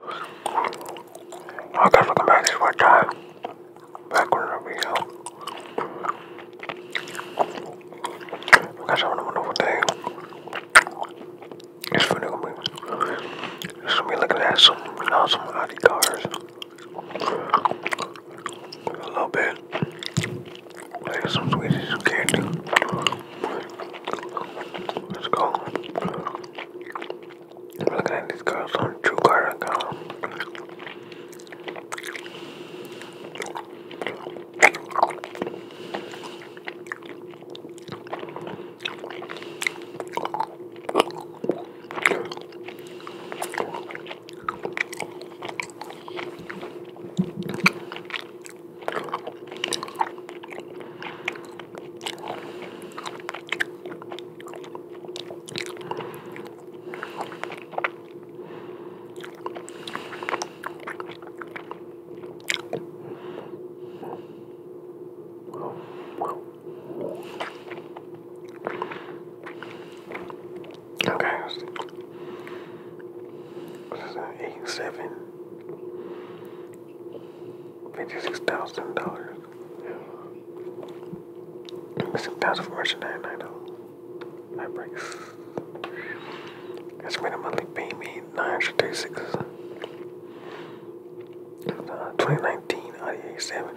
I guess we'll come back this one time. Back with another video. We got some wonderful thing. It's really gonna be, it's gonna be looking at some, you know, cars. A little bit. some sweeties, some candy. Let's go. I'm looking at these girls on True Car. Okay, what is that? Eight, seven, $56,000. Missing pounds of merchandise and idol. I breaks. Estimated monthly payment 936. Uh, 2019 Audi 7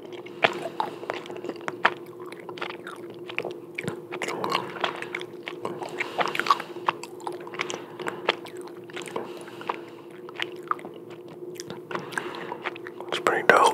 It's pretty dope.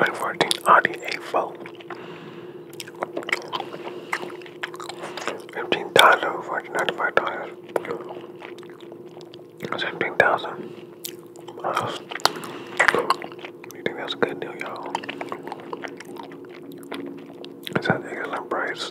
Like 14 Audi A4. 15 Tazo, 1495 dollars. 17,000. You think that's a good deal, y'all? It's an excellent price.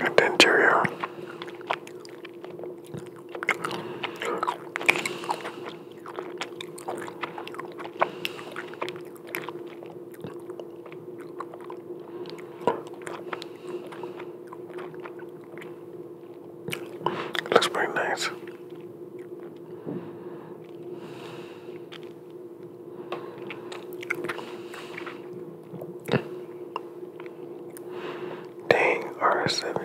And then cheerio. It looks pretty nice. Dang, R7.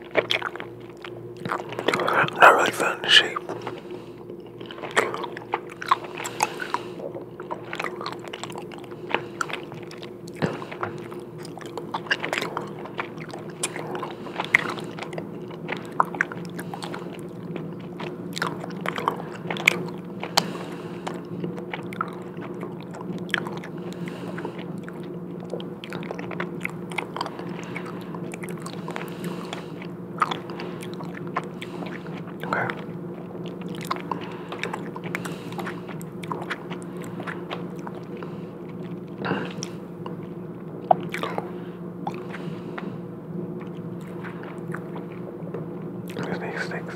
i not really feeling the shape. Okay. This makes sticks.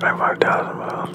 I'm five 5,000 miles.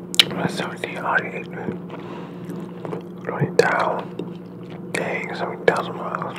Something on it, man. Going down. Dang, 70,000 miles.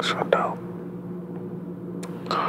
So dope. Oh.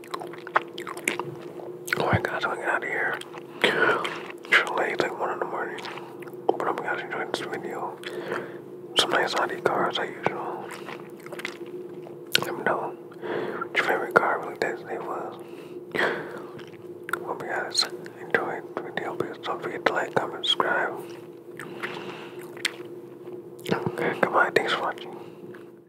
Oh my god, I'm out of here. It's late, like 1 in the morning. But I am gonna enjoy this video. Some nice Audi cars, like usual. Let me know what your favorite car really Disney was. Hope you guys enjoy the video. Please don't forget to like, comment, subscribe. Okay, goodbye. Thanks for watching.